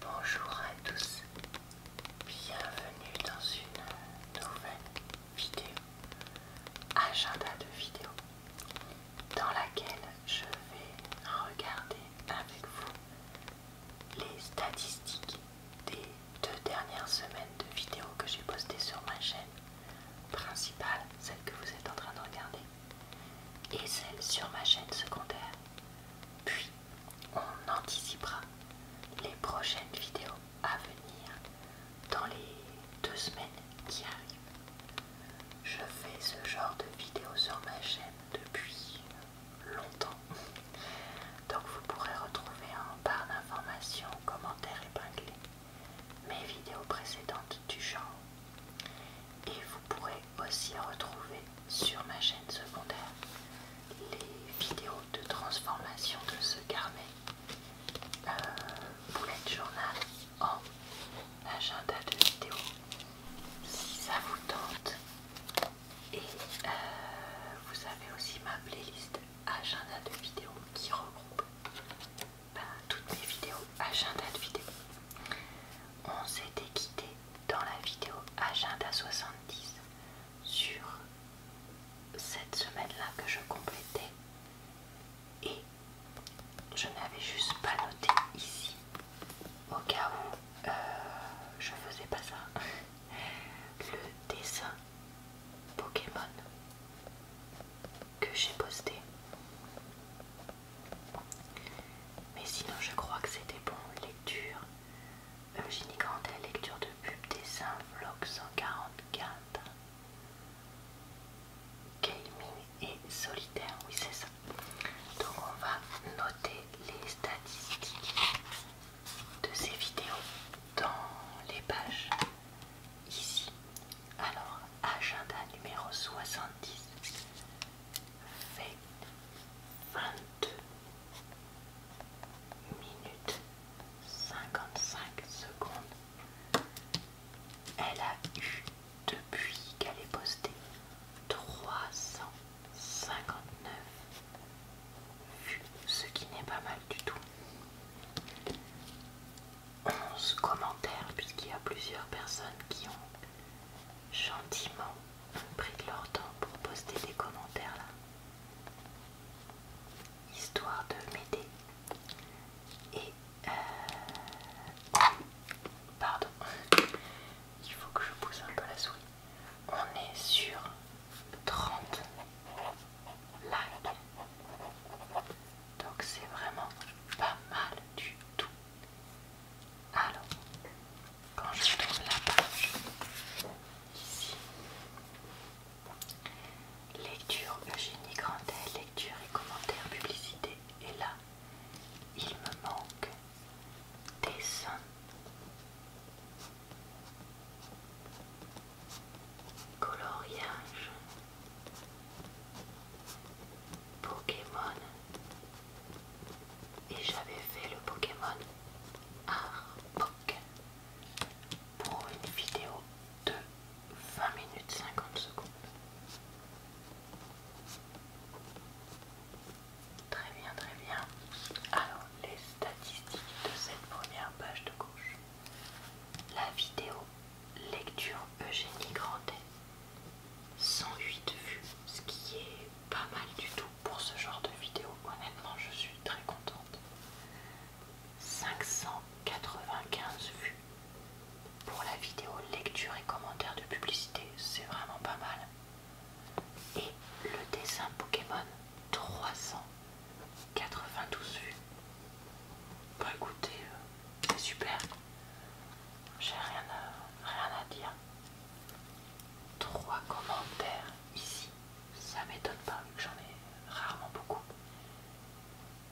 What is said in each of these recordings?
Bonjour à tous, bienvenue dans une nouvelle vidéo, agenda de vidéo, dans laquelle je vais regarder avec vous les statistiques des deux dernières semaines de vidéos que j'ai postées sur ma chaîne principale, celle que vous êtes en train de regarder, et celle sur ma chaîne secondaire. Puis, on anticipera les prochaines vidéos à venir dans les deux semaines qui arrivent. Je fais ce genre de vidéos sur ma chaîne depuis longtemps. Donc vous pourrez retrouver en barre d'informations, commentaires épinglés mes vidéos précédentes du genre et vous pourrez aussi retrouver sur ma chaîne secondaire les vidéos de transformation de ce carnet euh, bullet journal en agenda de vidéo si ça vous tente. Et euh, vous avez aussi ma playlist agenda de vidéo qui regroupe bah, toutes mes vidéos agenda de vidéo. On s'était quitté dans la vidéo Agenda 70 sur cette semaine-là que je complétais et je n'avais juste pas noté ici au cas où euh, je faisais pas ça le dessin Pokémon que j'ai posté mais sinon, je crois que c'était bon. Lecture Eugénie Grandet, lecture de pub, dessin, vlog 144. Gaming et solitaire, oui, c'est ça. Donc, on va noter les statistiques de ces vidéos dans les pages ici. Alors, agenda numéro 70 fait 22 minutes 55 secondes. Elle a eu, depuis qu'elle est postée, 359 vues, ce qui n'est pas mal du tout. 11 commentaires, puisqu'il y a plusieurs personnes qui ont gentiment pris de leur temps pour poster des commentaires là, histoire de m'aider. Et euh... pardon, il faut que je pousse un peu la souris. On est sur 30 likes, donc c'est vraiment pas mal du tout. Alors, quand je tourne la page, ici, lecture Eugénie Grandet, lecture et commentaires publicité, et là, il me manque dessin. Coloriage Pokémon et j'avais fait le Pokémon Arbok pour une vidéo de 20 minutes 50 secondes. Très bien, très bien. Alors, les statistiques de cette première page de gauche. La vidéo lecture Eugénie Grandet 108 vues, ce qui est pas mal du tout pour ce genre de vidéo. Honnêtement, je suis très contente. 595 vues pour la vidéo lecture et commentaire de publicité, c'est vraiment pas mal. Et le dessin Pokémon, 392 vues. Bah écoutez, euh, c'est super j'ai rien à, rien à dire. Trois commentaires ici, ça m'étonne pas vu que j'en ai rarement beaucoup.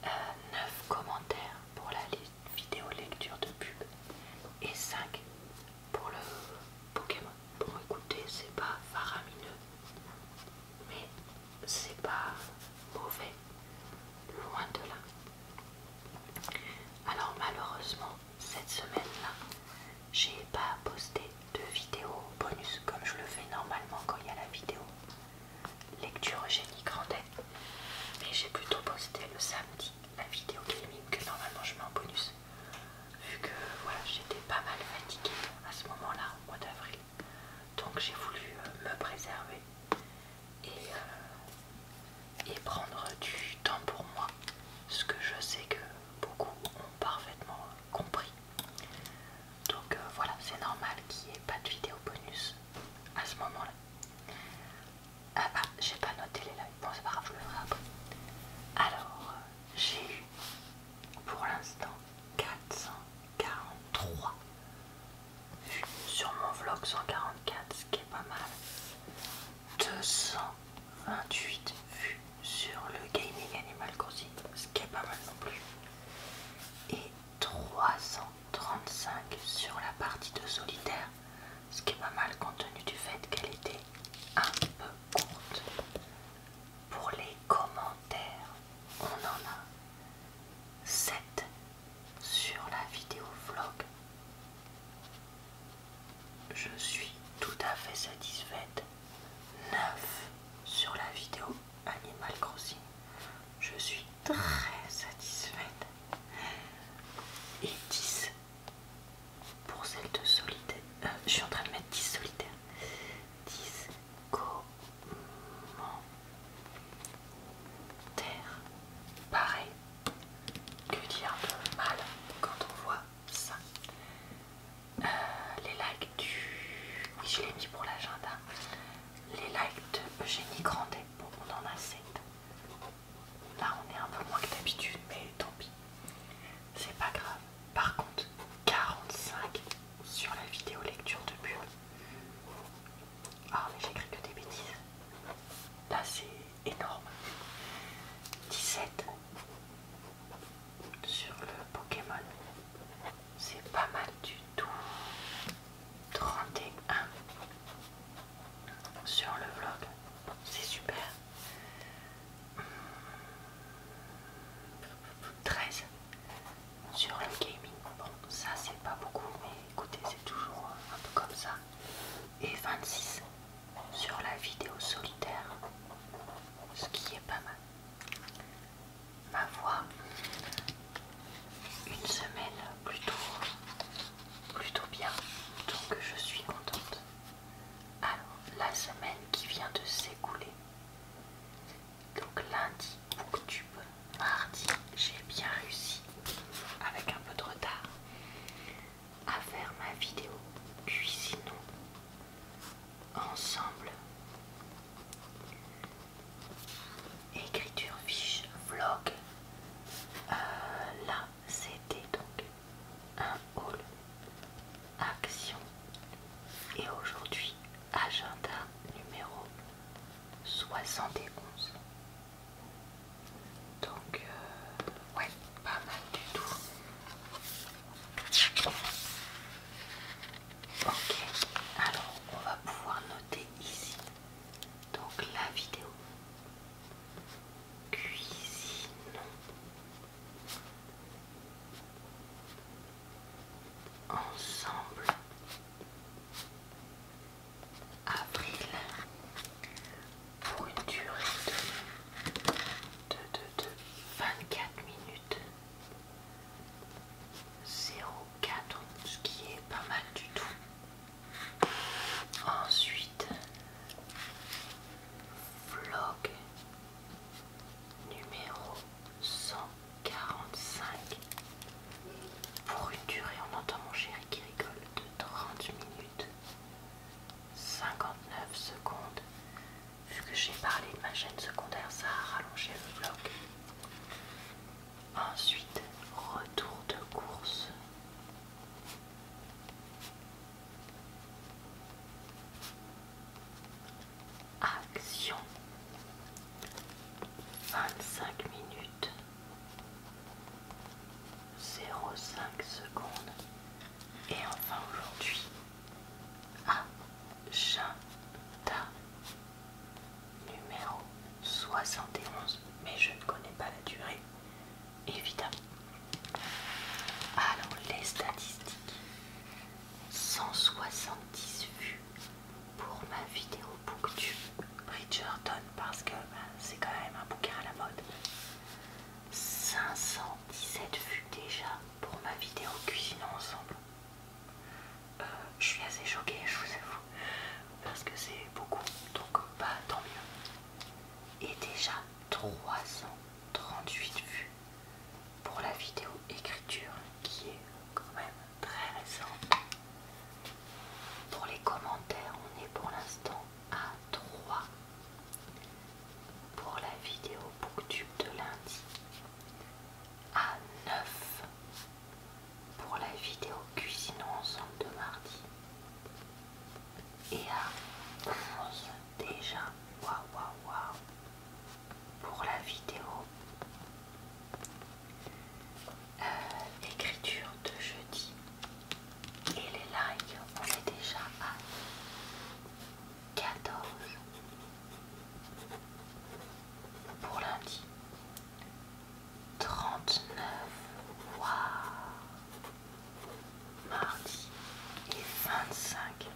9 euh, commentaires pour la vidéo lecture de pub et 5 pour le Pokémon. Pour écouter, c'est pas faramineux, mais c'est pas mauvais, loin de là. Alors malheureusement, cette semaine-là, j'ai pas posté de vidéo bonus comme je le fais normalement quand il y a la vidéo lecture Eugénie Grandet, mais j'ai plutôt posté le samedi la vidéo gaming que normalement je mets en bonus, vu que voilà j'étais pas mal fatiguée à ce moment-là au mois d'avril, donc j'ai voulu euh, me préserver et euh, et prendre du temps pour moi, ce que je sais que beaucoup ont parfaitement compris. Donc euh, voilà, c'est normal qu'il n'y ait pas de vidéo bonus à ce moment-là. Ah, ah j'ai pas noté les lives, bon c'est pas grave, je le ferai après. Alors, euh, j'ai eu pour l'instant 443 vues sur mon vlog 144, ce qui est pas mal. 228 vues sur le Gaming Animal Crossing, ce qui est pas mal non plus, et 335 sur la partie de solitaire, ce qui est pas mal compte tenu du fait qu'elle était un peu courte. Pour les commentaires, on en a 7 sur la vidéo vlog je suis tout à fait satisfaite. 9 sur la vidéo Animal Crossing. Je suis très satisfaite. Et 10 pour celle de solitaire. Euh, je suis en train de mettre 10 solitaires, 10 comment terre. Pareil, que dire peu mal quand on voit ça euh, Les likes du... Oui, je l'ai mis pour l'agenda. Les likes de Eugénie Grandet. Bon, on en a 7. Là, on est un peu moins que d'habitude, mais tant pis. C'est pas grave. Par contre, 45 sur la vidéo lecture de pub. Ah, mais j'écris que des bêtises. Là, c'est énorme. 17 sur le Pokémon. C'est pas mal du tout. 31 sur le vlog. C'est super. 13 sur le gaming. Bon, ça c'est pas beaucoup, mais écoutez, c'est toujours un peu comme ça. Et 26 sur la vidéo solitaire, ce qui est pas mal. Ma voix, une semaine plutôt, plutôt bien, donc je suis contente. Alors, la semaine qui vient de s'écouler, donc lundi, booktube, mardi, j'ai bien réussi, avec un peu de retard à faire ma vidéo cuisinons ensemble écriture fiche vlog euh, là c'était donc un haul action et aujourd'hui agenda numéro 71 donc, euh, ouais, pas mal du tout. Ok, alors on va pouvoir noter ici. Donc la vidéo. Cuisine. Ensemble avril pour une durée de, 24 minutes 04 ce qui est pas mal du tout ensuite vlog numéro 145 pour une durée on entend mon chéri qui rigole de 30 minutes 59 secondes. Vu que j'ai parlé de ma chaîne secondaire, ça a rallongé le bloc. Ensuite, retour de course. Action. 25 minutes. 0,5 secondes. Et enfin aujourd'hui, ah, agenda numéro 71. Mais je ne connais pas la durée, évidemment. Alors les statistiques. 170 vues pour ma vidéo booktube Bridgerton parce que ben, c'est quand même un bouquin à la mode 517 vues déjà pour ma vidéo cuisinant ensemble. Euh, je suis assez choquée, je vous avoue, parce que c'est beaucoup, donc pas euh, bah, tant mieux. Et déjà 338 vues pour la vidéo écriture qui est quand même très récente. Pour les commentaires, on est pour l'instant à 3 pour la vidéo booktube de lundi, à 9 pour la vidéo Cuisinons ensemble de mardi et à 11 déjà waouh waouh waouh pour la vidéo euh, écriture de jeudi et les likes, on est déjà à 14 pour lundi. 39 wow. mardi et 25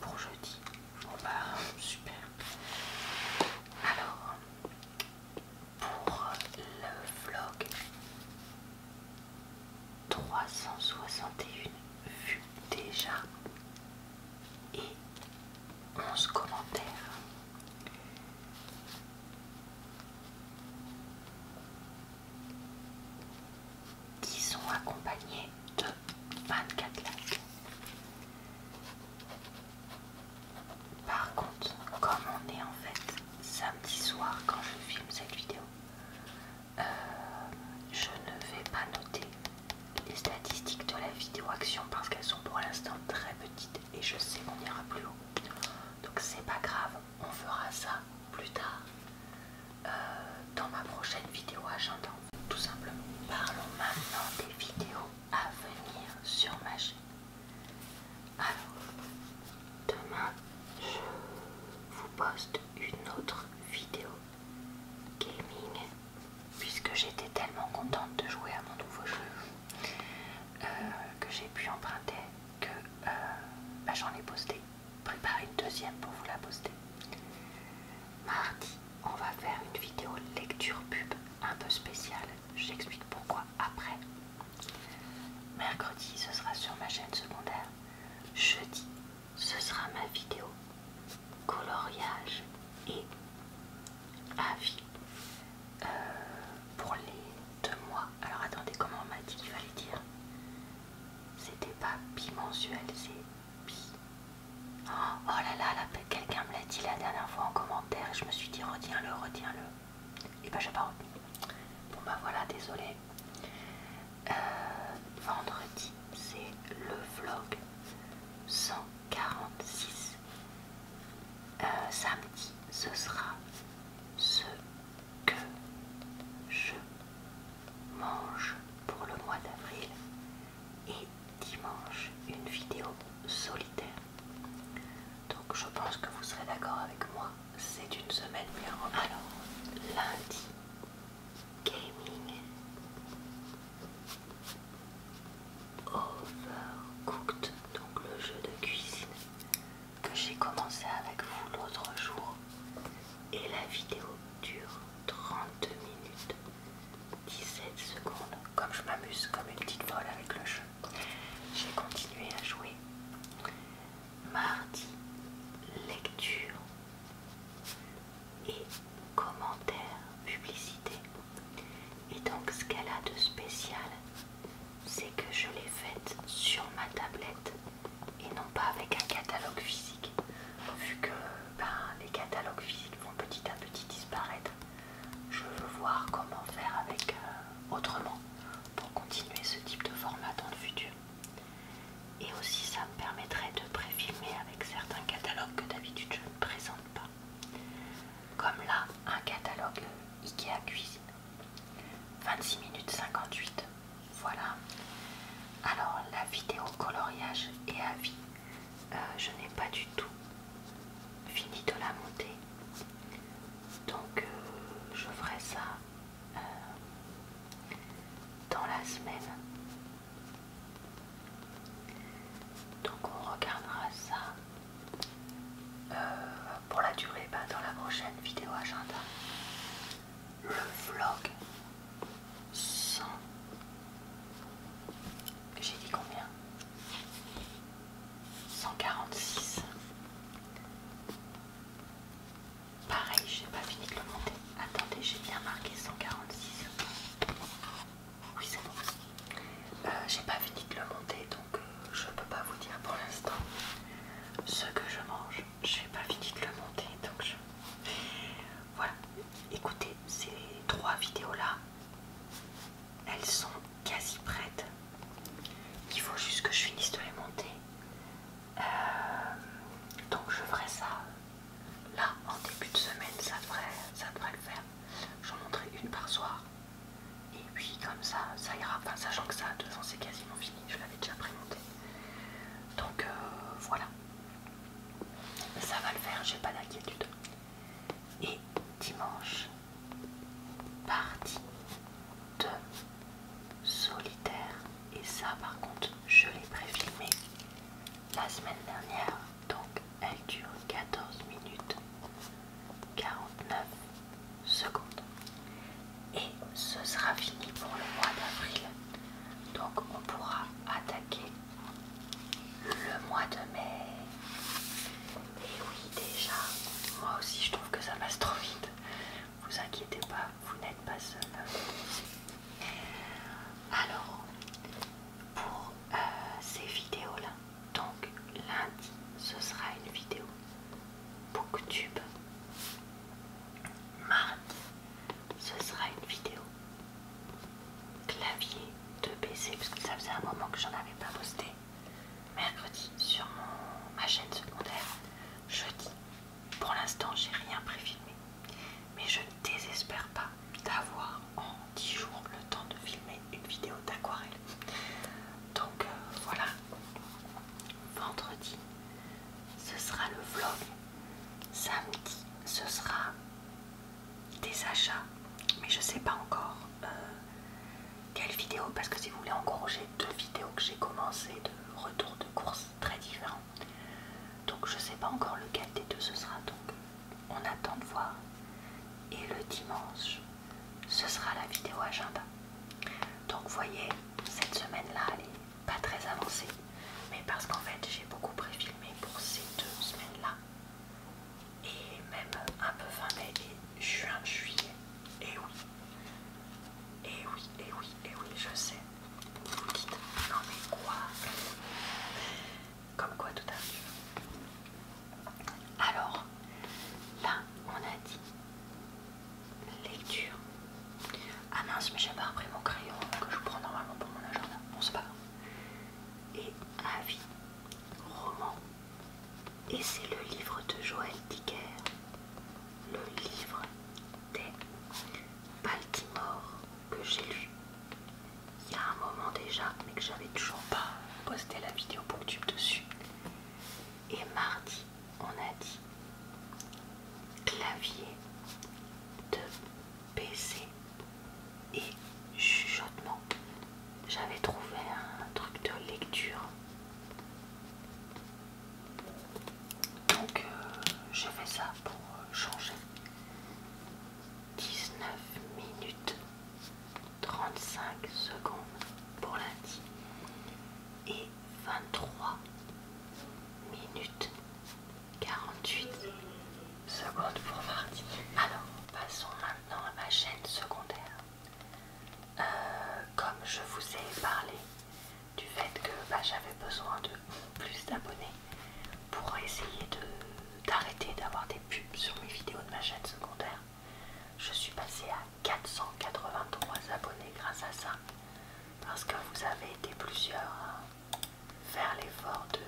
pour jeudi. Bon bah super. Alors pour le vlog 361 vues déjà et 11 commentaires. qui sont accompagnés de 24 likes. Par contre, comme on est en fait samedi soir quand je filme cette vidéo, euh, je ne vais pas noter les statistiques de la vidéo action parce qu'elles sont pour l'instant très petites et je sais qu'on ira plus haut. Donc c'est pas grave, on fera ça plus tard euh, dans ma prochaine vidéo agenda, tout simplement. Parlons maintenant des vidéos à venir sur ma chaîne. Alors, demain, je vous poste une autre vidéo gaming puisque j'étais tellement contente de jouer à mon nouveau jeu euh, que j'ai pu emprunter que euh, bah, j'en ai posté. préparé une deuxième pour vous la poster. Mardi, on va faire une vidéo lecture pub un peu spéciale j'explique pourquoi après. Mercredi, ce sera sur ma chaîne secondaire. Jeudi, ce sera ma vidéo coloriage et avis euh, pour les deux mois. Alors attendez, comment on m'a dit qu'il fallait dire C'était pas bimensuel, c'est bi. Oh, là là, la Quelqu'un me l'a dit la dernière fois en commentaire et je me suis dit retiens-le, retiens-le. Et ben j'ai pas retenu. Bon bah voilà, désolé. Euh, vendredi, c'est le vlog 146. Euh, samedi, ce sera ce que je mange pour le mois d'avril. Et dimanche une vidéo solitaire. Donc je pense que vous serez d'accord avec moi, c'est une semaine bien Alors, lundi, gaming, overcooked, donc le jeu de cuisine que j'ai commencé avec vous l'autre jour. Et la vidéo dure 30 minutes. 17 secondes. Comme je m'amuse comme une petite folle avec le jeu, j'ai continué à jouer. Mardi, lecture et commentaire, publicité. Et donc ce qu'elle a de spécial, c'est que je l'ai faite sur ma tablette et non pas avec un catalogue physique. Vu que ben, les catalogues physiques vont petit à petit disparaître, je veux voir comment faire avec euh, autrement pour continuer ce type de format dans le futur. Et aussi ça me permettrait de préfilmer avec certains catalogues que d'habitude je ne présente pas. Comme là, un catalogue Ikea Cuisine. 26 minutes 58. Voilà. Alors la vidéo coloriage et avis, euh, je n'ai pas du tout fini de la monter. Donc euh, je ferai ça euh, dans la semaine. Donc on regardera ça euh, pour la durée bah, dans la prochaine vidéo agenda. Le vlog Sans J'ai dit combien 146. Pareil, j'ai pas fini de le monter. Attendez, j'ai bien marqué 146. Oui, c'est bon. Euh, j'ai pas fini de le monter, donc euh, je peux pas vous dire pour l'instant ce que je mange. J'ai pas fini de le monter, donc Voilà. Écoutez, ces trois vidéos-là, elles sont quasi prête. Il faut juste que je finisse de les monter. Euh, donc je ferai ça là en début de semaine, ça devrait, ça devrait le faire. J'en montrerai une par soir. Et puis comme ça, ça ira. Enfin, sachant que ça, de ans, c'est quasiment fini. Je l'avais déjà prémonté. Donc euh, voilà. Ça va le faire, j'ai pas d'inquiétude. Et dimanche, partie de solitaire et ça par contre je l'ai préfilmé la semaine dernière donc elle dure 14 minutes 49 secondes et ce sera fini pour le mois d'avril donc on pourra attaquer le mois de mai et oui, déjà, moi aussi je trouve que ça passe trop vite. Vous inquiétez pas, vous n'êtes pas seul. Alors, pour euh, ces vidéos-là, donc lundi, ce sera une vidéo Booktube. Mardi, ce sera une vidéo clavier de PC, parce que ça faisait un moment que j'en avais pas posté mercredi sur ma chaîne secondaire, jeudi. Pour l'instant, j'ai rien préfilmé, mais je ne désespère pas d'avoir en 10 jours le temps de filmer une vidéo d'aquarelle. Donc euh, voilà, vendredi, ce sera le vlog. Samedi, ce sera des achats, mais je sais pas encore euh, quelle vidéo, parce que si vous voulez, encore j'ai deux vidéos que j'ai commencé de retour de courses très différents. Donc je sais pas encore lequel des deux ce sera, donc on attend de voir. Et le dimanche, ce sera la vidéo agenda. Donc voyez, cette semaine-là, elle est pas très avancée, mais parce qu'en fait j'ai beaucoup préfilmé pour ces deux semaines-là et même un peu fin mai et juin, juillet. Et oui, et oui, et oui, et oui, je sais. Vous dites, non mais quoi Comme quoi tout à l'heure Alors, là, on a dit lecture. Ah mince, mais j'ai pas repris mon crayon que je prends normalement pour mon agenda. Bon, c'est pas grave. Et avis, roman. Et c'est le livre de Joël Dicker, le livre des Baltimore que j'ai lu il y a un moment déjà, mais que j'avais toujours pas posté la vidéo Booktube dessus. Et mardi, on a dit clavier de PC et chuchotement. J'avais trouvé un truc de lecture. Donc euh, je fais ça pour euh, changer. 19 minutes 35 secondes pour lundi et 23 minutes 48 secondes pour mardi. Alors passons maintenant à ma chaîne secondaire. Euh, comme je vous ai parlé du fait que bah, j'avais besoin de plus d'abonnés pour essayer d'arrêter d'avoir des pubs sur mes vidéos de ma chaîne secondaire, je suis passée à 483 abonnés grâce à ça. Parce que vous avez été plusieurs à faire l'effort de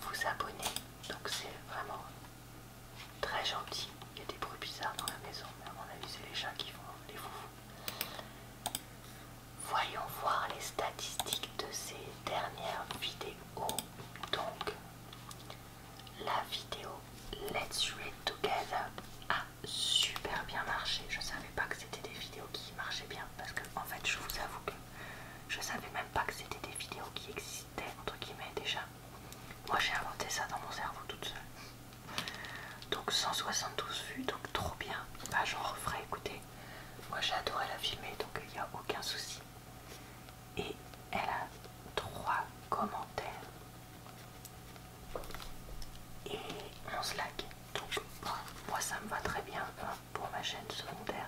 vous abonner. Donc c'est vraiment Très gentil. Il y a des bruits bizarres dans la maison, mais à mon avis, c'est les chats qui font les foufous. Voyons voir les statistiques de ces dernières vidéos. Donc, la vidéo Let's Read Together a super bien marché. Je savais pas que c'était des vidéos qui marchaient bien parce que, en fait, je vous avoue que je savais même pas que c'était des vidéos qui existaient, entre guillemets déjà. Moi j'ai inventé ça dans mon cerveau toute seule. Donc 172 vues, donc trop bien. Bah j'en referai, écoutez. Moi j'adore la filmer, donc il n'y a aucun souci. Et elle a 3 commentaires. Et 11 likes. Donc moi ça me va très bien hein, pour ma chaîne secondaire.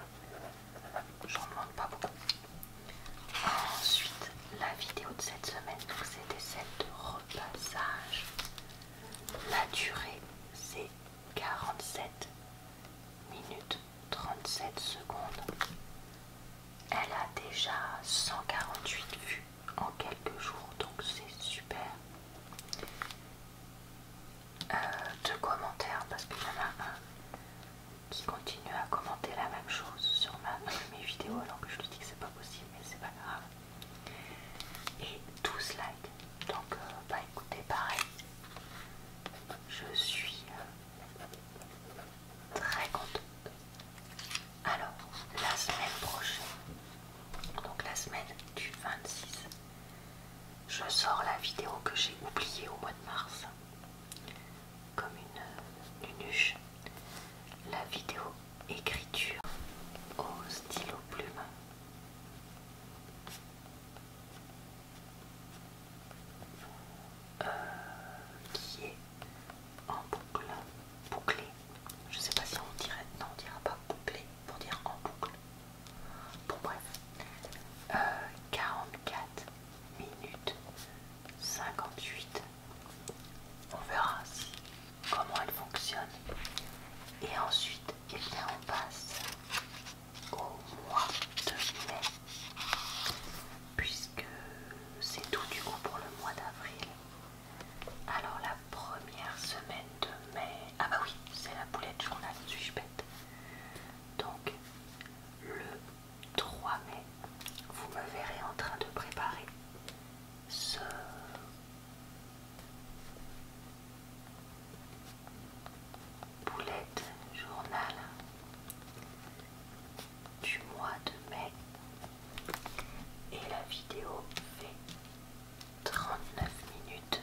J'en demande pas beaucoup. Ensuite, la vidéo de cette semaine, c'était celle de repassage. La durée, c'est 47 minutes 37 secondes. Elle a déjà 148 vues en quelques jours, donc c'est super. Euh, de deux commentaires parce qu'il y en a un qui continue à commenter la même chose sur mes vidéos alors que je lui dis que c'est pas possible mais c'est pas grave et 12 likes donc euh, bah écoutez pareil je suis euh, très contente alors la semaine prochaine donc la semaine du 26 je sors la vidéo que j'ai oubliée au mois de mars comme une nuche la vidéo écriture au stylo plume. Euh, qui est en boucle, bouclé. Je sais pas si on dirait, non, on dira pas bouclé pour dire en boucle. Bon, bref, 44 euh, minute 58. On verra comment elle fonctionne. Et ensuite, eh on passe au mois de mai, puisque c'est tout du coup pour le mois d'avril. Alors la première semaine de mai, ah bah oui, c'est la boulette journal, suis bête. Donc le 3 mai, vous me verrez en train de préparer ce boulette journal du mois de mai et la vidéo fait 39 minutes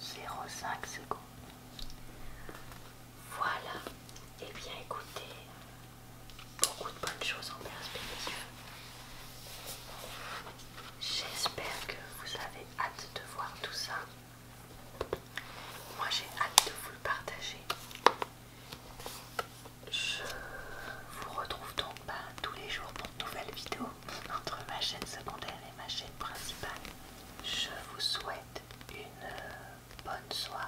0,5 secondes. Voilà, et eh bien écoutez, beaucoup de bonnes choses en perspective. J'espère que vous avez hâte de voir tout ça. Moi j'ai hâte de vous le partager. Je vous retrouve donc bah, tous les jours pour de nouvelles vidéos entre ma chaîne secondaire et ma chaîne principale. Je vous souhaite une euh, bonne soirée,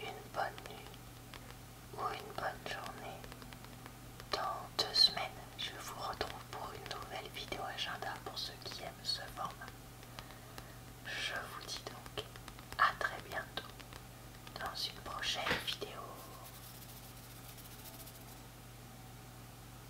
une bonne nuit ou une bonne journée. Dans deux semaines, je vous retrouve pour une nouvelle vidéo agenda pour ceux qui aiment ce format. Je vous dis donc à très bientôt dans une prochaine vidéo.